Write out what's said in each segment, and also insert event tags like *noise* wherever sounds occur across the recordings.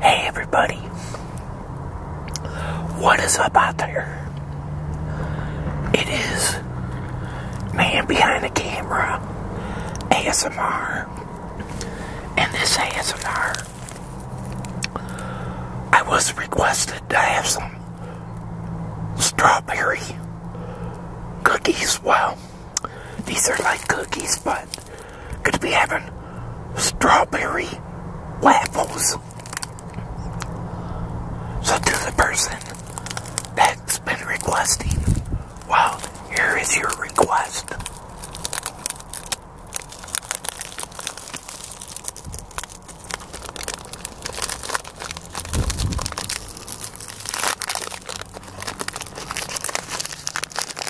Hey everybody, what is up out there? It is Man Behind the Camera ASMR, and this ASMR I was requested to have some strawberry cookies. Wow! These are like cookies, but to be having strawberry waffles. So to the person that's been requesting, well, here is your request.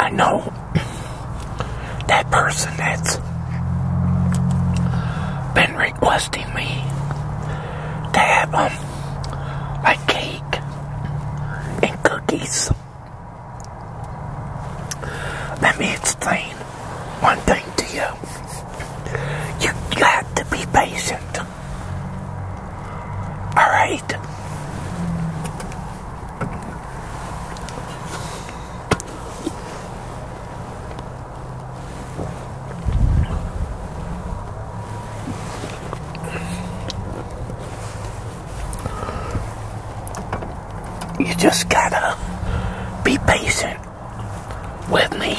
I know that person that's been requesting me to have um like cake and cookies. Let me explain one thing to you. You got to be patient. All right. You just gotta be patient with me.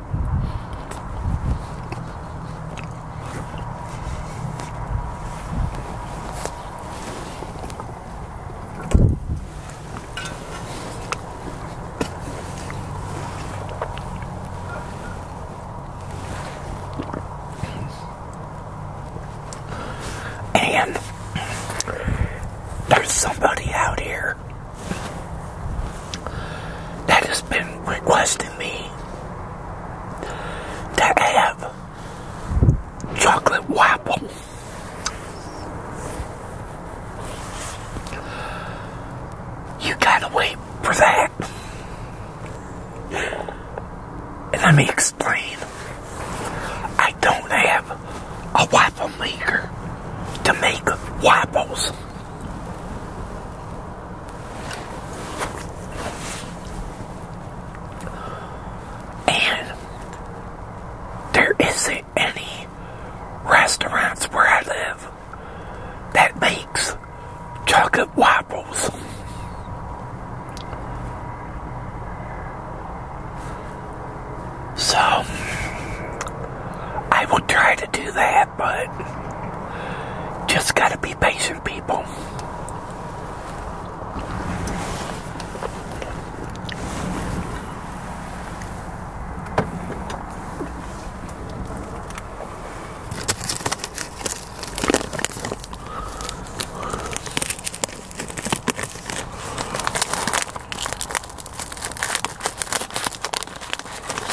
And there's somebody out here that has been requested me to have chocolate waffle. You gotta wait for that. And let me explain. I don't have a waffle maker to make waffles. And there isn't any restaurants where I live that makes chocolate waffles. So, I will try to do that but just gotta be patient, people.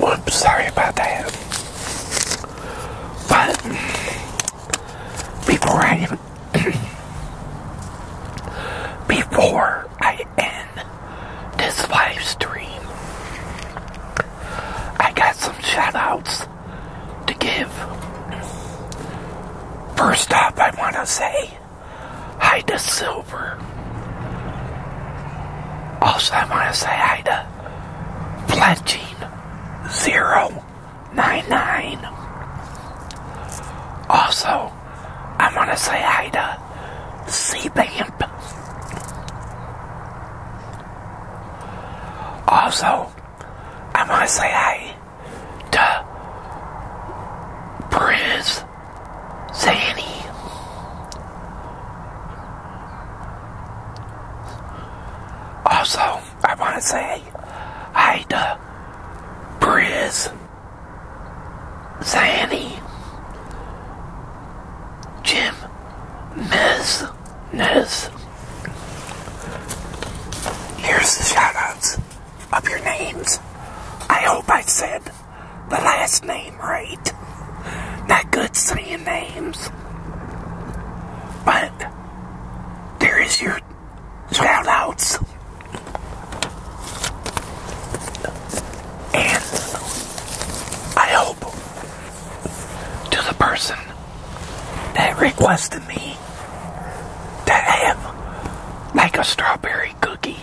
Whoops, sorry about that. But before I *coughs* before I end this live stream, I got some shout outs to give. First off, I want to say Hi the Silver. Also, I want to say hi to Fletching099. Also, I want to say hi to Bamp. Also, I want to say hi to Briz Sandy. Also, I want to say hi to Briz Sandy, Jim Miz Niz. Here's the shoutouts of your names. I hope I said the last name right. Not good saying names. But there is your shoutouts. And I hope to the person that requested me cookie have like a strawberry cookie.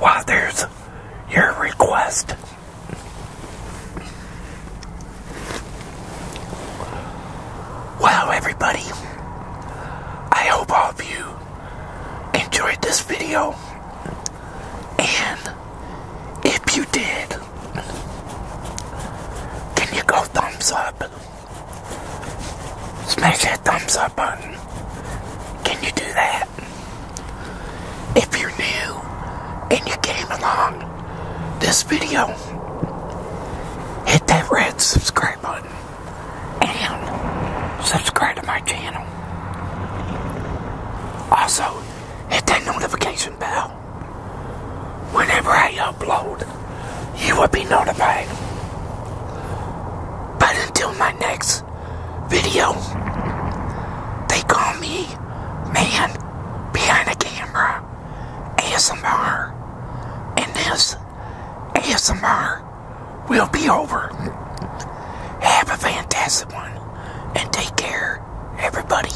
Wow, there's your request. Wow, everybody. I hope all of you enjoyed this video. And if you did, can you go thumbs up? Smash that thumbs up button. Can you do that? If you're new and you came along this video, hit that red subscribe button and subscribe to my channel. Also, hit that notification bell whenever I upload you will be notified. But until my next video, they call me Man Behind the Camera ASMR. And this ASMR will be over. Have a fantastic one and take care, everybody.